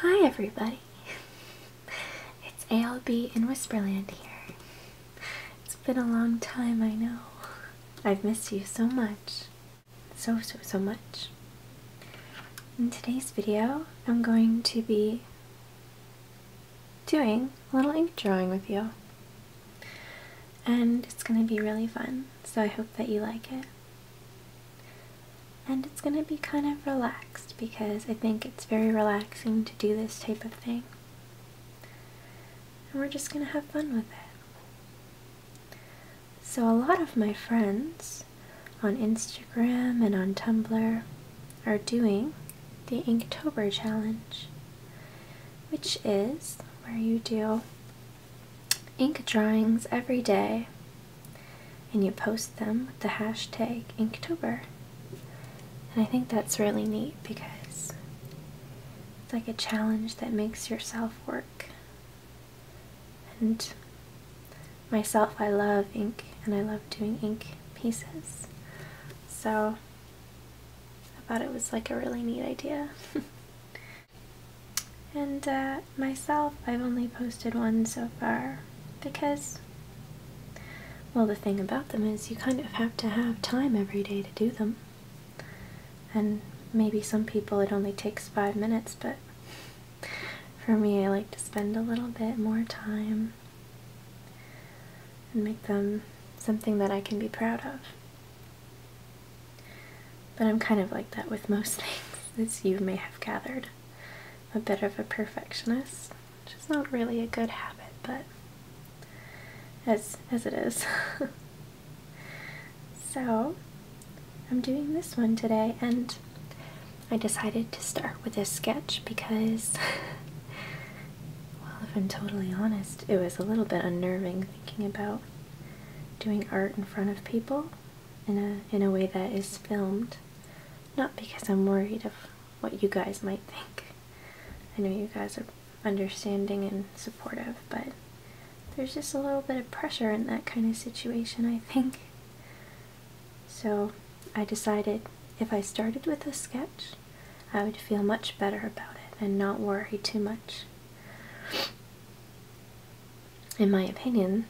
Hi everybody! it's ALB in Whisperland here. It's been a long time, I know. I've missed you so much. So, so, so much. In today's video, I'm going to be doing a little ink drawing with you. And it's going to be really fun, so I hope that you like it. And it's going to be kind of relaxed because I think it's very relaxing to do this type of thing. And we're just going to have fun with it. So a lot of my friends on Instagram and on Tumblr are doing the Inktober challenge, which is where you do ink drawings every day and you post them with the hashtag Inktober. And I think that's really neat because it's like a challenge that makes yourself work. And myself, I love ink and I love doing ink pieces. So I thought it was like a really neat idea. and uh, myself, I've only posted one so far because, well, the thing about them is you kind of have to have time every day to do them. And maybe some people it only takes five minutes, but for me, I like to spend a little bit more time and make them something that I can be proud of. But I'm kind of like that with most things, as you may have gathered. I'm a bit of a perfectionist, which is not really a good habit, but as as it is. so I'm doing this one today, and I decided to start with this sketch because, well, if I'm totally honest, it was a little bit unnerving thinking about doing art in front of people in a in a way that is filmed not because I'm worried of what you guys might think. I know you guys are understanding and supportive, but there's just a little bit of pressure in that kind of situation, I think. So I decided if I started with a sketch, I would feel much better about it and not worry too much. In my opinion,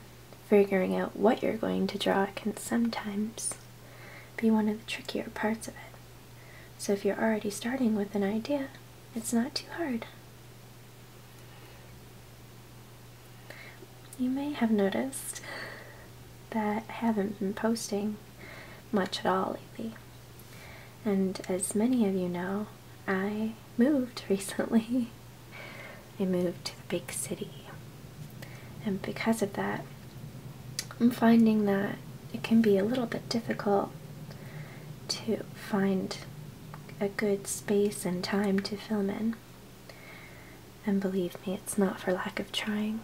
Figuring out what you're going to draw can sometimes be one of the trickier parts of it. So if you're already starting with an idea, it's not too hard. You may have noticed that I haven't been posting much at all lately. And as many of you know, I moved recently I moved to the big city. And because of that, I'm finding that it can be a little bit difficult to find a good space and time to film in. And believe me, it's not for lack of trying.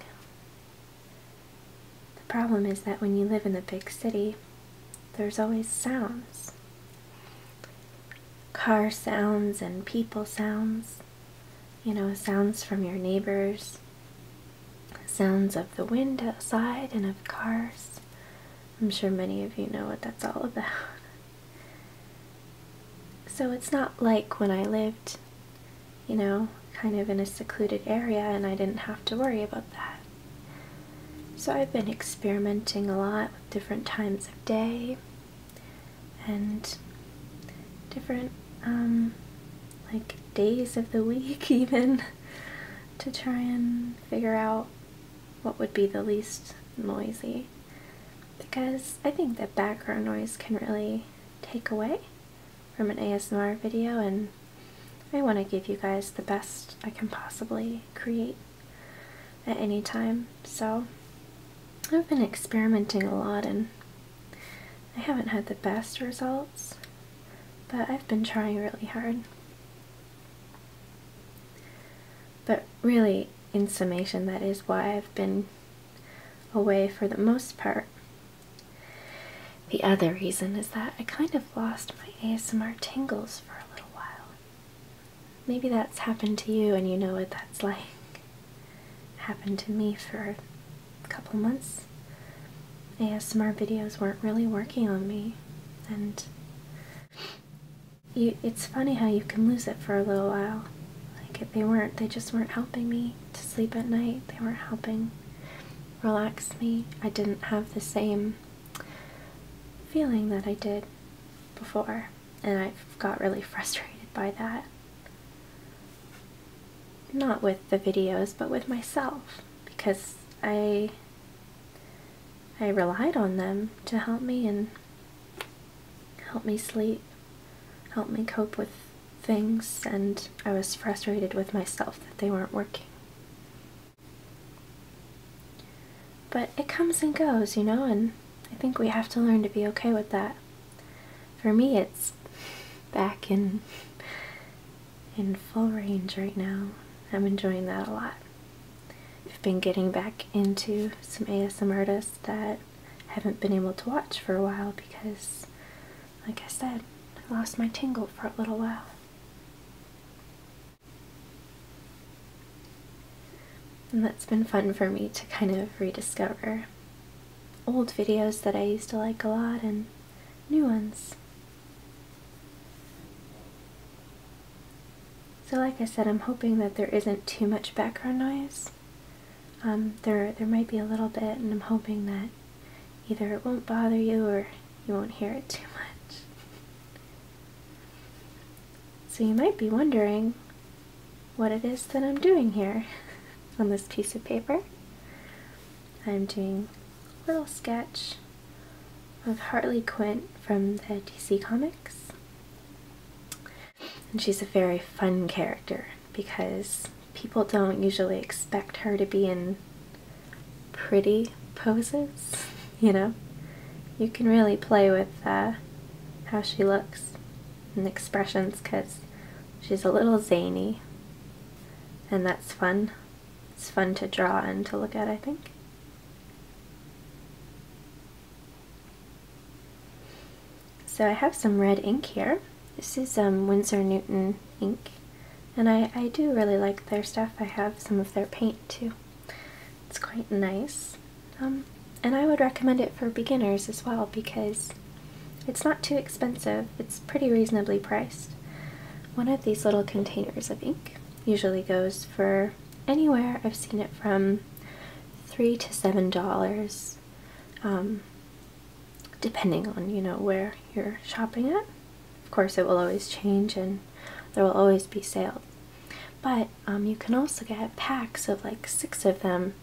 The problem is that when you live in a big city, there's always sounds car sounds and people sounds, you know, sounds from your neighbors, sounds of the wind outside and of cars. I'm sure many of you know what that's all about. So it's not like when I lived, you know, kind of in a secluded area and I didn't have to worry about that. So I've been experimenting a lot with different times of day, and different um, like days of the week even to try and figure out what would be the least noisy because I think that background noise can really take away from an ASMR video and I want to give you guys the best I can possibly create at any time. So I've been experimenting a lot and I haven't had the best results, but I've been trying really hard. But really, in summation, that is why I've been away for the most part. The other reason is that I kind of lost my ASMR tingles for a little while. Maybe that's happened to you and you know what that's like. Happened to me for a couple months. ASMR videos weren't really working on me and it's funny how you can lose it for a little while. Like if they weren't, they just weren't helping me to sleep at night. They weren't helping relax me. I didn't have the same feeling that I did before and I got really frustrated by that. Not with the videos, but with myself, because I I relied on them to help me and help me sleep, help me cope with things, and I was frustrated with myself that they weren't working. But it comes and goes, you know, and I think we have to learn to be okay with that. For me, it's back in, in full range right now. I'm enjoying that a lot. I've been getting back into some ASM artists that I haven't been able to watch for a while because, like I said, I lost my tingle for a little while. And that's been fun for me to kind of rediscover old videos that I used to like a lot and new ones. So like I said, I'm hoping that there isn't too much background noise. Um, there, there might be a little bit, and I'm hoping that either it won't bother you or you won't hear it too much. So you might be wondering what it is that I'm doing here on this piece of paper. I'm doing a little sketch of Hartley Quint from the DC Comics. And she's a very fun character because people don't usually expect her to be in pretty poses, you know? You can really play with uh, how she looks and expressions because she's a little zany and that's fun. It's fun to draw and to look at I think. So I have some red ink here. This is um, Winsor Newton ink and I, I do really like their stuff. I have some of their paint too. It's quite nice. Um, and I would recommend it for beginners as well because it's not too expensive, it's pretty reasonably priced. One of these little containers of ink usually goes for anywhere, I've seen it from three to seven dollars um, depending on you know where you're shopping at. Of course it will always change and there will always be sales but um, you can also get packs of like six of them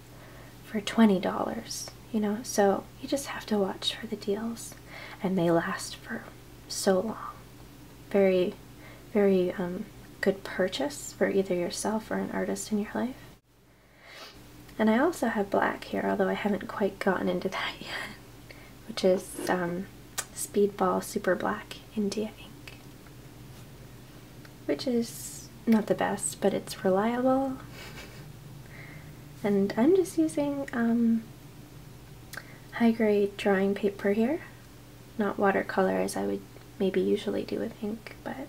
for $20, you know? So you just have to watch for the deals. And they last for so long. Very, very um, good purchase for either yourself or an artist in your life. And I also have black here, although I haven't quite gotten into that yet, which is um, Speedball Super Black India ink which is not the best, but it's reliable. and I'm just using um, high-grade drawing paper here, not watercolor as I would maybe usually do with ink, but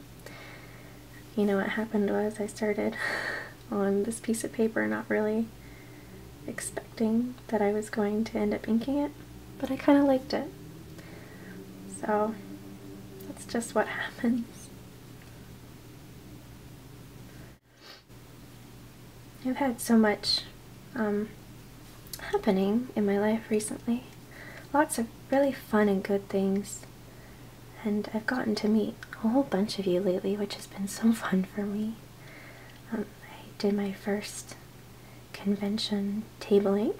you know what happened was I started on this piece of paper not really expecting that I was going to end up inking it but I kind of liked it. So that's just what happens. I've had so much um, happening in my life recently. Lots of really fun and good things. And I've gotten to meet a whole bunch of you lately, which has been so fun for me. Um, I did my first convention tabling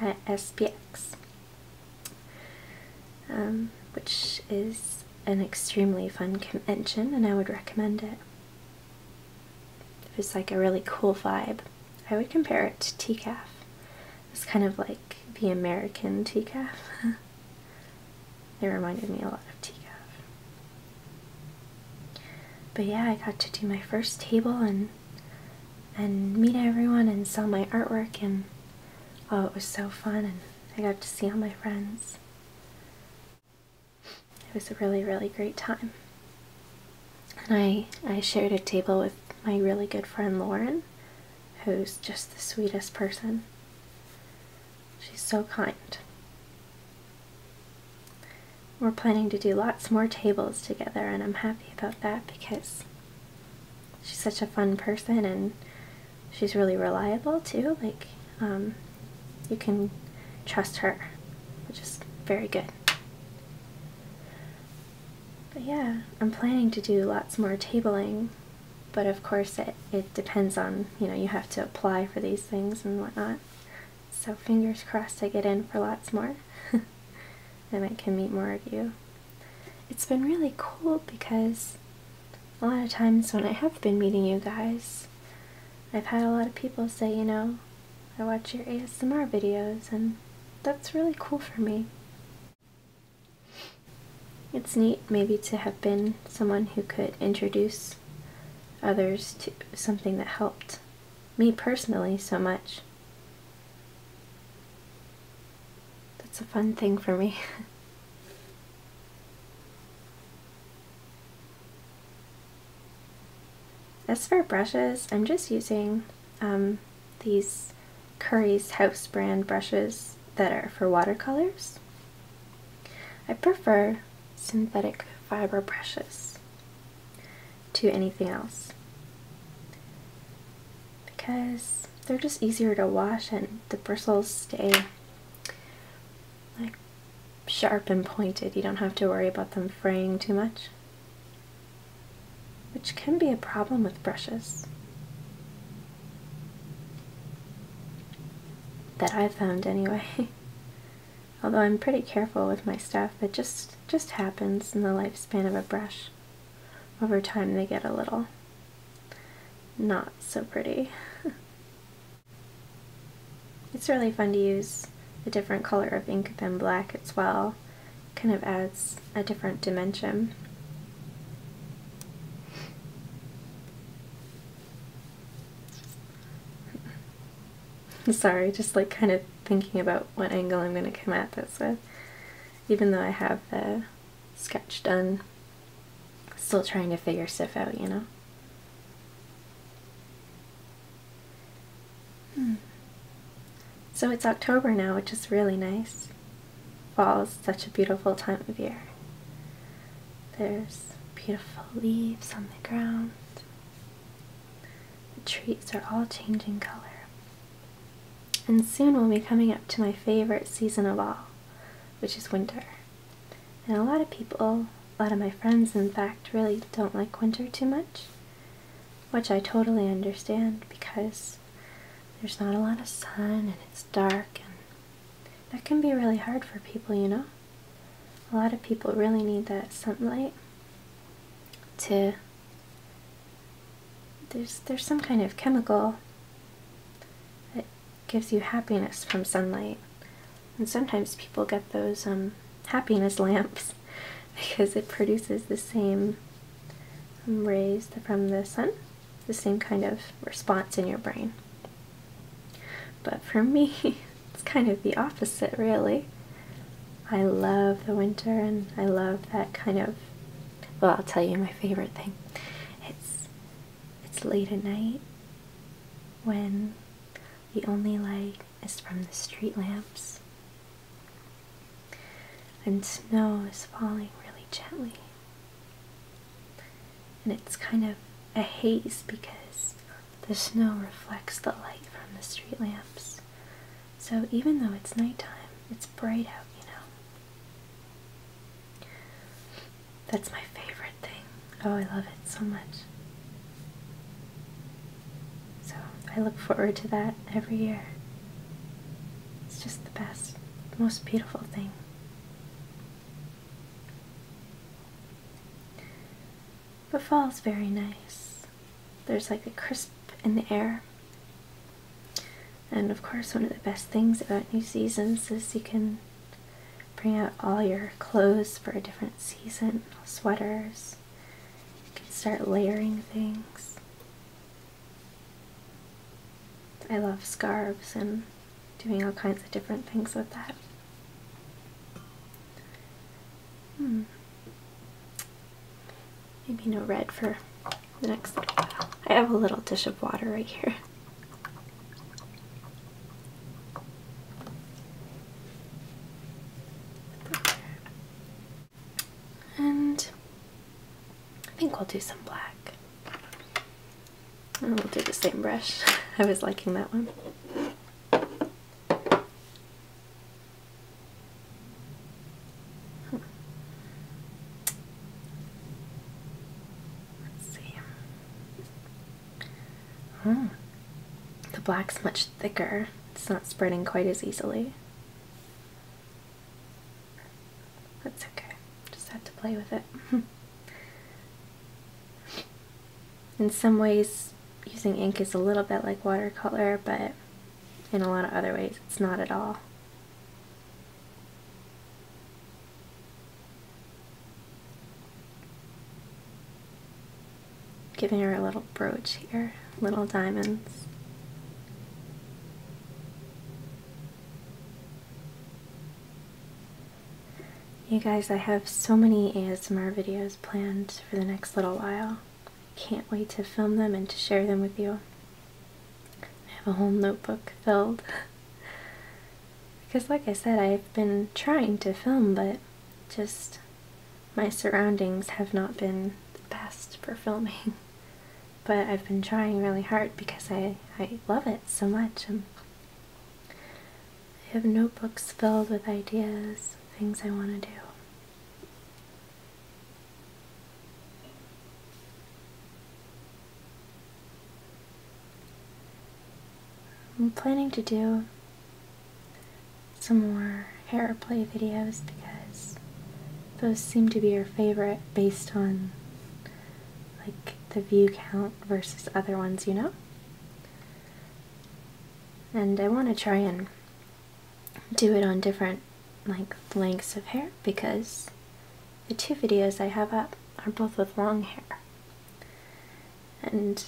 at SPX, um, which is an extremely fun convention and I would recommend it. If it's like a really cool vibe, I would compare it to TCAF. It's kind of like the American TCAF. it reminded me a lot of TCAF. But yeah, I got to do my first table and and meet everyone and sell my artwork and oh it was so fun and I got to see all my friends. It was a really really great time. And I, I shared a table with my really good friend Lauren who's just the sweetest person. She's so kind. We're planning to do lots more tables together, and I'm happy about that because she's such a fun person and she's really reliable too. Like, um, you can trust her, which is very good. But yeah, I'm planning to do lots more tabling, but of course it, it depends on, you know, you have to apply for these things and whatnot. So fingers crossed I get in for lots more. and I can meet more of you. It's been really cool because a lot of times when I have been meeting you guys, I've had a lot of people say, you know, I watch your ASMR videos, and that's really cool for me. It's neat maybe to have been someone who could introduce others to something that helped me personally so much. That's a fun thing for me. As for brushes, I'm just using um, these Currie's House brand brushes that are for watercolors. I prefer synthetic fiber brushes to anything else because they're just easier to wash and the bristles stay like sharp and pointed. You don't have to worry about them fraying too much, which can be a problem with brushes that i found anyway. Although I'm pretty careful with my stuff, it just just happens in the lifespan of a brush. Over time they get a little not so pretty. it's really fun to use a different color of ink than black as well. Kind of adds a different dimension. Sorry, just like kind of thinking about what angle I'm going to come at this with. Even though I have the sketch done, still trying to figure stuff out, you know? Hmm. So it's October now, which is really nice. Fall is such a beautiful time of year. There's beautiful leaves on the ground. The trees are all changing color. And soon we'll be coming up to my favorite season of all, which is winter. And a lot of people, a lot of my friends in fact, really don't like winter too much, which I totally understand because there's not a lot of sun and it's dark and that can be really hard for people, you know? A lot of people really need that sunlight to there's, there's some kind of chemical that gives you happiness from sunlight. And sometimes people get those um, happiness lamps because it produces the same um, rays from the sun, the same kind of response in your brain. But for me, it's kind of the opposite, really. I love the winter and I love that kind of well I'll tell you my favorite thing. It's it's late at night when the only light is from the street lamps and snow is falling really gently. And it's kind of a haze because the snow reflects the light from the street lamps. So even though it's nighttime, it's bright out, you know. That's my favorite thing. Oh, I love it so much. So I look forward to that every year. It's just the best, most beautiful thing. But fall's very nice. There's like a crisp in the air. And of course, one of the best things about new seasons is you can bring out all your clothes for a different season, sweaters. You can start layering things. I love scarves and doing all kinds of different things with that. Hmm. Maybe no red for the next little while. I have a little dish of water right here. And I think we'll do some black. And we'll do the same brush. I was liking that one see. Hmm. The black's much thicker. It's not spreading quite as easily. That's okay. Just have to play with it. In some ways, using ink is a little bit like watercolor, but in a lot of other ways, it's not at all. Giving her a little brooch here, little diamonds. You guys, I have so many ASMR videos planned for the next little while. Can't wait to film them and to share them with you. I have a whole notebook filled. because, like I said, I've been trying to film, but just my surroundings have not been the best for filming. but I've been trying really hard because I, I love it so much. And I have notebooks filled with ideas, things I want to do. I'm planning to do some more hair play videos because those seem to be your favorite based on like the view count versus other ones, you know? And I want to try and do it on different like lengths of hair because the two videos I have up are both with long hair. And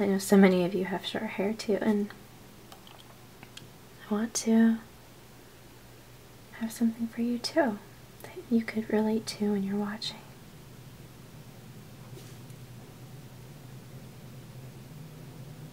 I know so many of you have short hair too and I want to have something for you too that you could relate to when you're watching.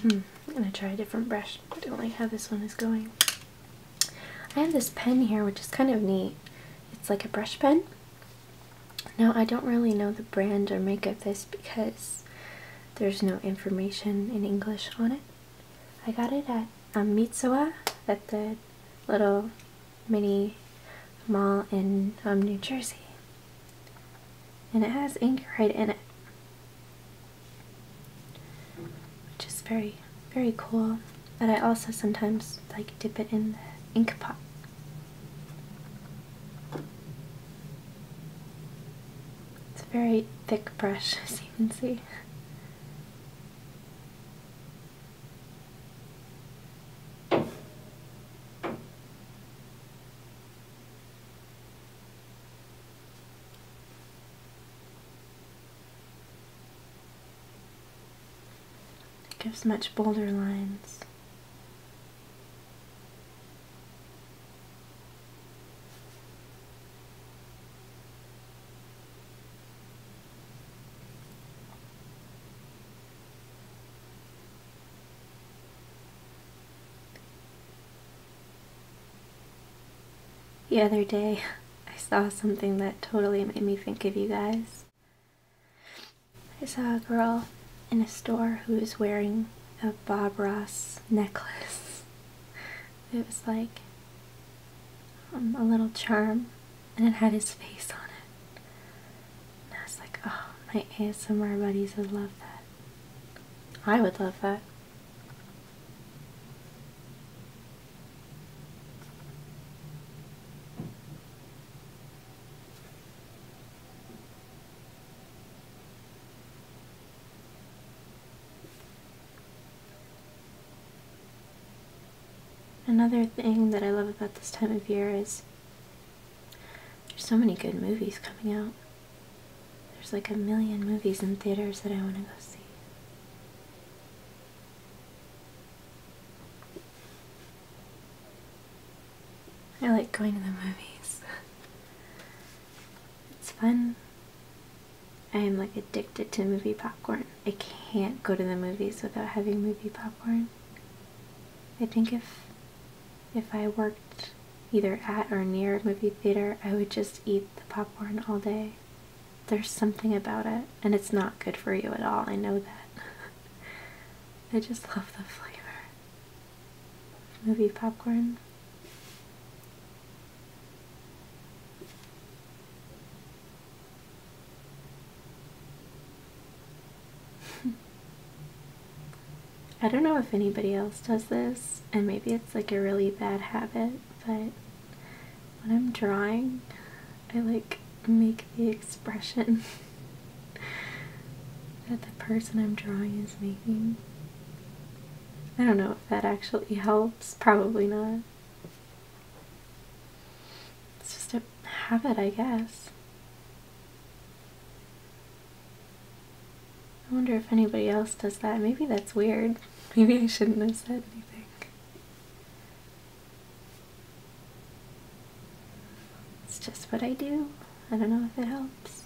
Hmm, I'm going to try a different brush. I don't like how this one is going. I have this pen here, which is kind of neat. It's like a brush pen. Now, I don't really know the brand or make of this because there's no information in English on it. I got it at um, Mitsuwa, at the little mini mall in um, New Jersey and it has ink right in it which is very very cool but I also sometimes like dip it in the ink pot it's a very thick brush as you can see it gives much bolder lines. The other day, I saw something that totally made me think of you guys. I saw a girl in a store who was wearing a Bob Ross necklace. It was like um, a little charm, and it had his face on it. And I was like, oh, my ASMR buddies would love that. I would love that. Another thing that I love about this time of year is there's so many good movies coming out. There's like a million movies in theaters that I want to go see. I like going to the movies. it's fun. I am like addicted to movie popcorn. I can't go to the movies without having movie popcorn. I think if if I worked either at or near a movie theater, I would just eat the popcorn all day. There's something about it, and it's not good for you at all, I know that. I just love the flavor movie popcorn. I don't know if anybody else does this, and maybe it's like a really bad habit, but when I'm drawing, I like make the expression that the person I'm drawing is making. I don't know if that actually helps, probably not. It's just a habit, I guess. I wonder if anybody else does that. Maybe that's weird. Maybe I shouldn't have said anything. It's just what I do. I don't know if it helps.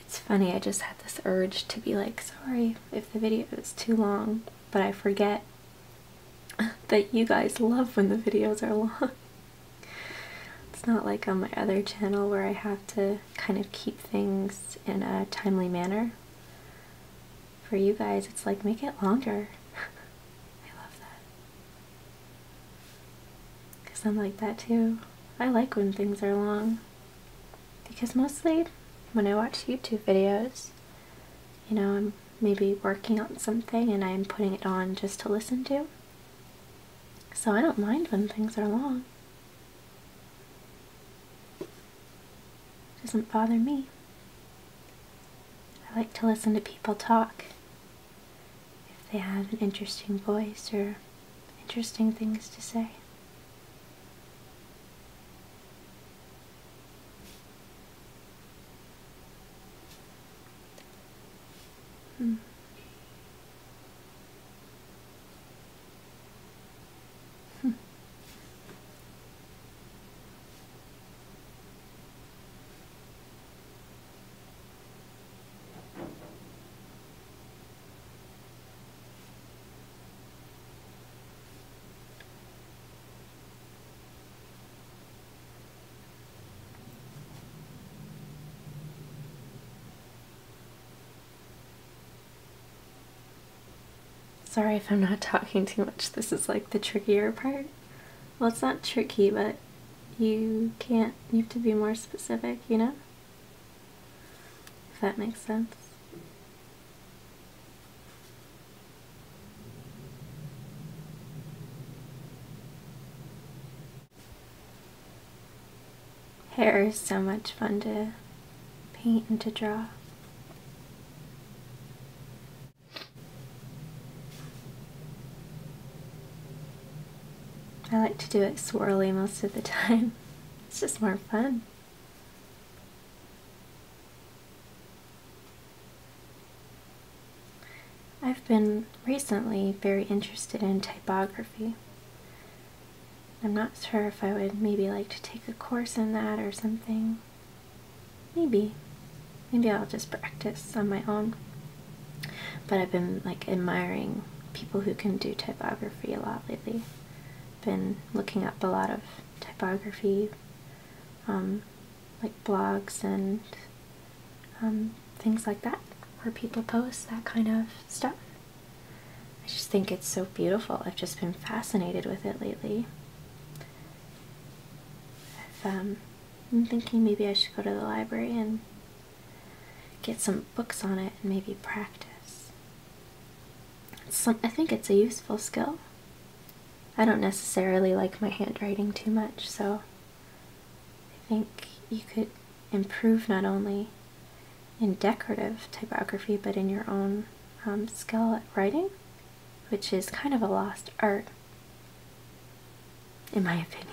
It's funny, I just had this urge to be like, sorry if the video is too long, but I forget that you guys love when the videos are long. It's not like on my other channel where I have to kind of keep things in a timely manner. For you guys, it's like, make it longer. I love that. Because I'm like that too. I like when things are long. Because mostly when I watch YouTube videos, you know, I'm maybe working on something and I'm putting it on just to listen to. So I don't mind when things are long. It doesn't bother me. I like to listen to people talk if they have an interesting voice or interesting things to say. Hmm. Hmm. Sorry if I'm not talking too much, this is like the trickier part. Well, it's not tricky, but you can't, you have to be more specific, you know? If that makes sense. Hair is so much fun to paint and to draw. I like to do it swirly most of the time. It's just more fun. I've been recently very interested in typography. I'm not sure if I would maybe like to take a course in that or something. Maybe. Maybe I'll just practice on my own. But I've been like admiring people who can do typography a lot lately. Been looking up a lot of typography, um, like blogs and um, things like that, where people post that kind of stuff. I just think it's so beautiful. I've just been fascinated with it lately. Um, I'm thinking maybe I should go to the library and get some books on it and maybe practice. I think it's a useful skill. I don't necessarily like my handwriting too much, so I think you could improve not only in decorative typography but in your own um, skill at writing, which is kind of a lost art, in my opinion.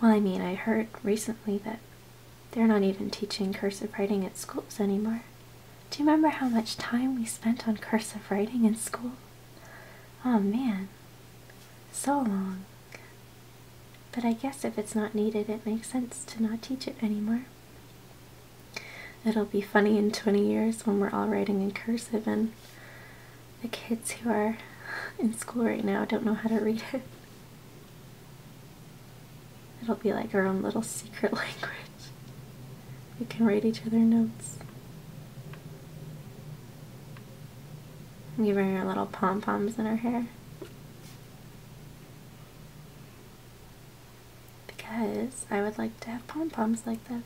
Well, I mean, I heard recently that they're not even teaching cursive writing at schools anymore. Do you remember how much time we spent on cursive writing in school? Oh man, so long. But I guess if it's not needed, it makes sense to not teach it anymore. It'll be funny in 20 years when we're all writing in cursive and the kids who are in school right now don't know how to read it. It'll be like our own little secret language. We can write each other notes. I'm giving her little pom-poms in her hair. Because I would like to have pom-poms like this.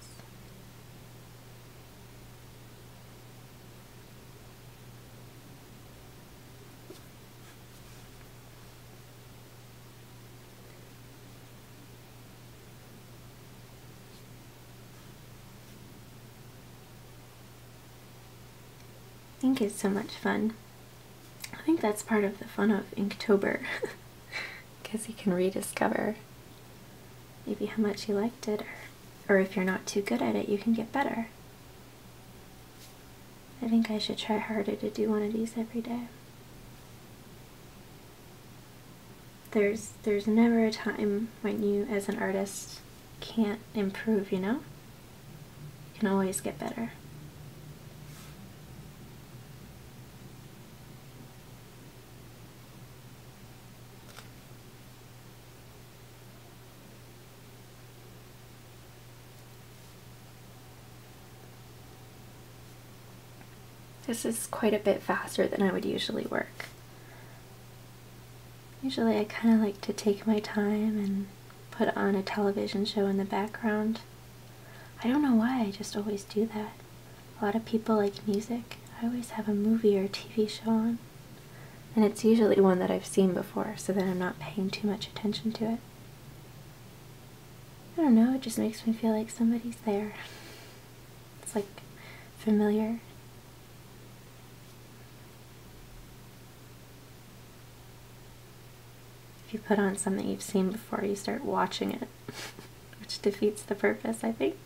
Ink is so much fun. I think that's part of the fun of Inktober, because you can rediscover maybe how much you liked it or or if you're not too good at it, you can get better. I think I should try harder to do one of these every day. There's there's never a time when you as an artist can't improve, you know? You can always get better. This is quite a bit faster than I would usually work. Usually I kind of like to take my time and put on a television show in the background. I don't know why, I just always do that. A lot of people like music. I always have a movie or TV show on, and it's usually one that I've seen before, so that I'm not paying too much attention to it. I don't know, it just makes me feel like somebody's there. It's like familiar. If you put on something you've seen before, you start watching it, which defeats the purpose, I think.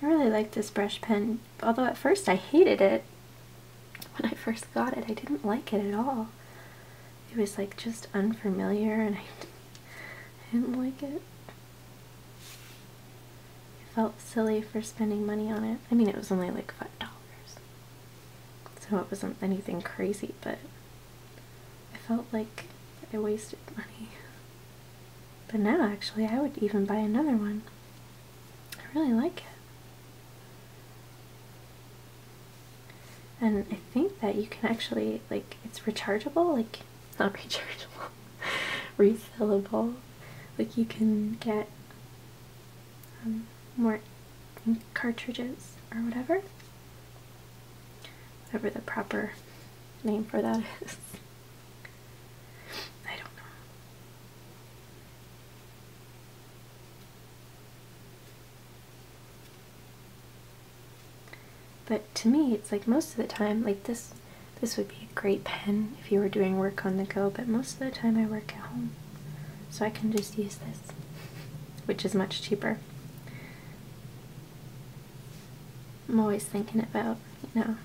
I really like this brush pen, although at first I hated it. When I first got it, I didn't like it at all it was like just unfamiliar and I, didn't like it. I felt silly for spending money on it. I mean, it was only like $5. So it wasn't anything crazy, but I felt like I wasted money. But now, actually, I would even buy another one. I really like it and I think that you can actually like it's rechargeable like not rechargeable refillable like you can get um, more cartridges or whatever whatever the proper name for that is I don't know but to me, it's like most of the time, like this, this would be a great pen if you were doing work on the go, but most of the time I work at home. So I can just use this, which is much cheaper. I'm always thinking about, you know,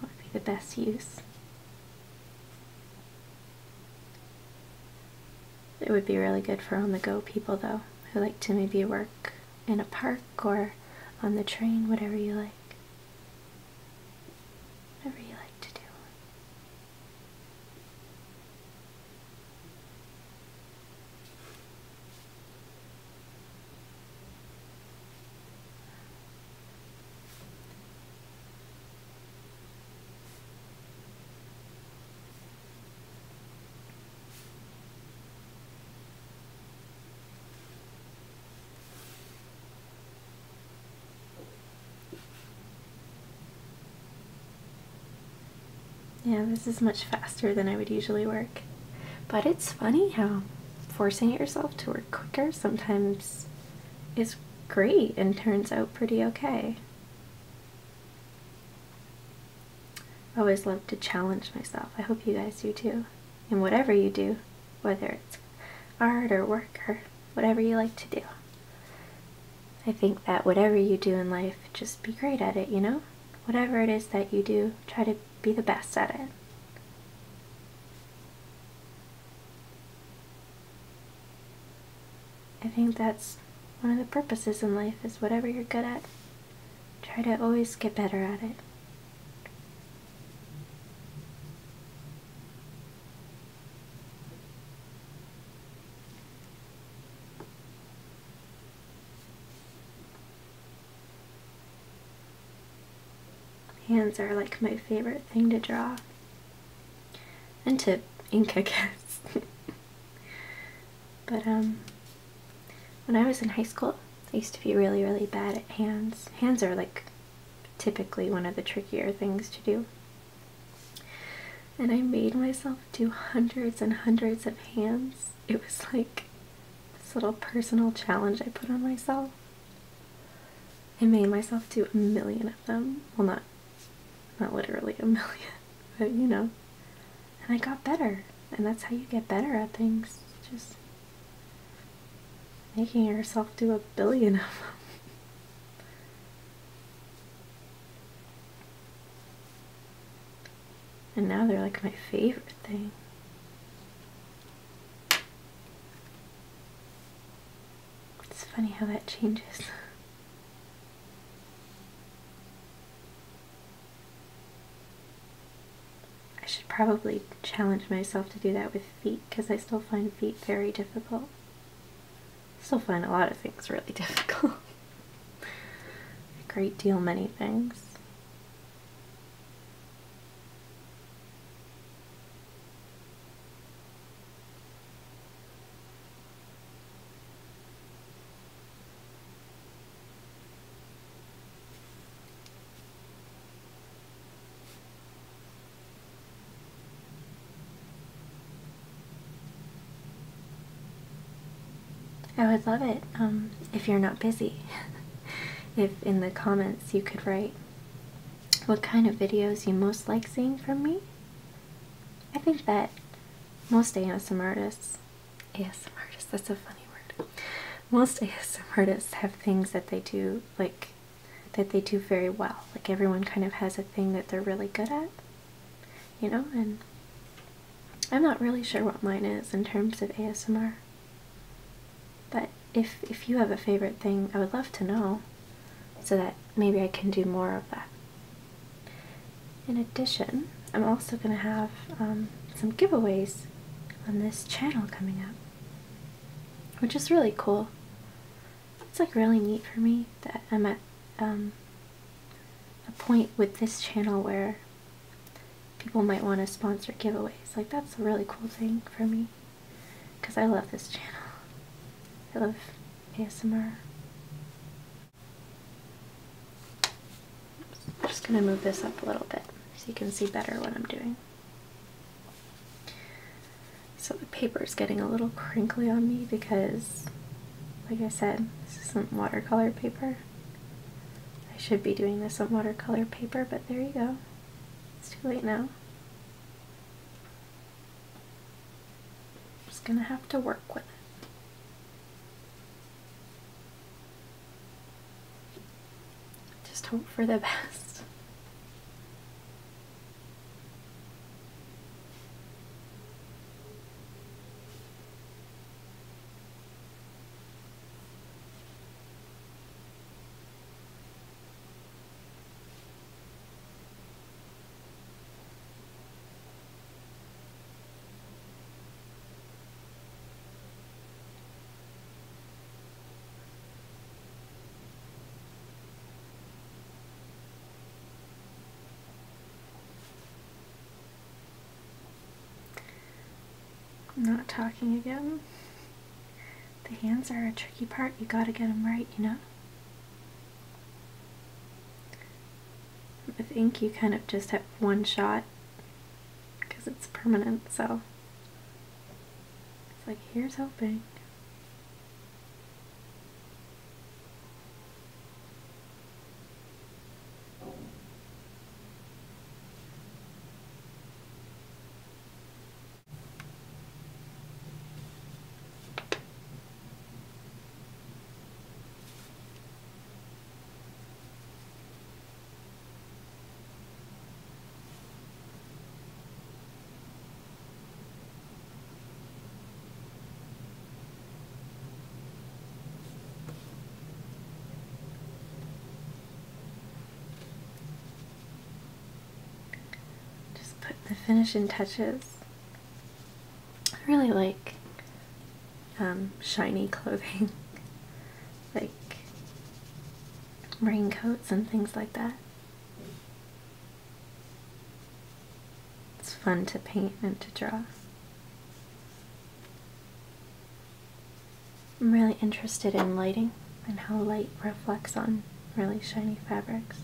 what would be the best use. It would be really good for on the go people though, who like to maybe work in a park or on the train, whatever you like. Whatever you like to do. Yeah, this is much faster than I would usually work. But it's funny how forcing yourself to work quicker sometimes is great and turns out pretty okay. I always love to challenge myself. I hope you guys do too. And whatever you do, whether it's art or work or whatever you like to do. I think that whatever you do in life, just be great at it, you know? Whatever it is that you do, try to be the best at it. I think that's one of the purposes in life is whatever you're good at, try to always get better at it. Hands are like my favorite thing to draw and to ink, I guess. But um, when I was in high school, I used to be really, really bad at hands. Hands are like typically one of the trickier things to do. And I made myself do hundreds and hundreds of hands. It was like this little personal challenge I put on myself. I made myself do a million of them. Well, not not literally a million, but you know. And I got better. And that's how you get better at things. Just making yourself do a billion of them. And now they're like my favorite thing. It's funny how that changes. I should probably challenge myself to do that with feet because I still find feet very difficult. still find a lot of things really difficult. a great deal many things. I would love it um, if you're not busy. if in the comments you could write what kind of videos you most like seeing from me. I think that most ASMR artists, ASM artists, that's a funny word. Most ASMR artists have things that they do, like, that they do very well. Like, everyone kind of has a thing that they're really good at, you know? And I'm not really sure what mine is in terms of ASMR. But if, if you have a favorite thing, I would love to know so that maybe I can do more of that. In addition, I'm also going to have um, some giveaways on this channel coming up, which is really cool. It's like really neat for me that I'm at um, a point with this channel where people might want to sponsor giveaways. Like that's a really cool thing for me because I love this channel. I love ASMR. I'm just going to move this up a little bit so you can see better what I'm doing. So the paper is getting a little crinkly on me because, like I said, this is some watercolor paper. I should be doing this on watercolor paper, but there you go. It's too late now. Just gonna have to work with it. Just hope for the best not talking again. The hands are a tricky part. You gotta get them right, you know? I think you kind of just have one shot because it's permanent so it's like here's hoping. Just putting the finishing touches I really like um, shiny clothing, like raincoats and things like that. It's fun to paint and to draw. I'm really interested in lighting and how light reflects on really shiny fabrics.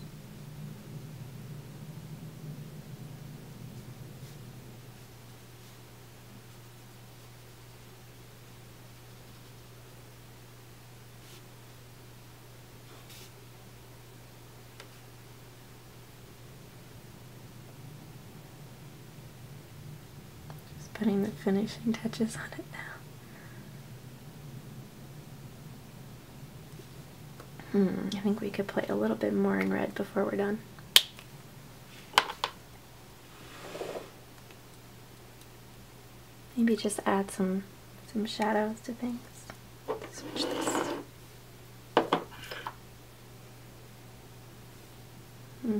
Just putting the finishing touches on it now. Hmm, I think we could play a little bit more in red before we're done. Maybe just add some some shadows to things. Switch this. Hmm.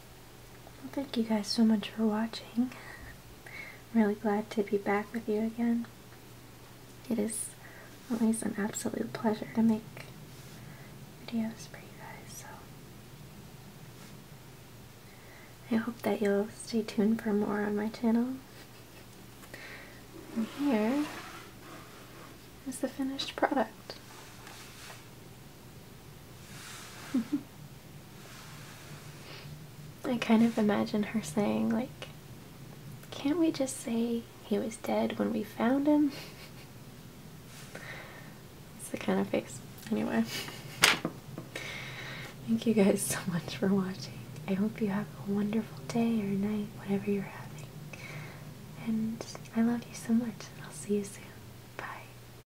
thank you guys so much for watching. I'm really glad to be back with you again. It is always an absolute pleasure to make videos for you guys, so I hope that you'll stay tuned for more on my channel. And here is the finished product. I kind of imagine her saying, like, can't we just say he was dead when we found him? it's the kind of face. Anyway, thank you guys so much for watching. I hope you have a wonderful day or night, whatever you're having. And I love you so much. I'll see you soon. Bye.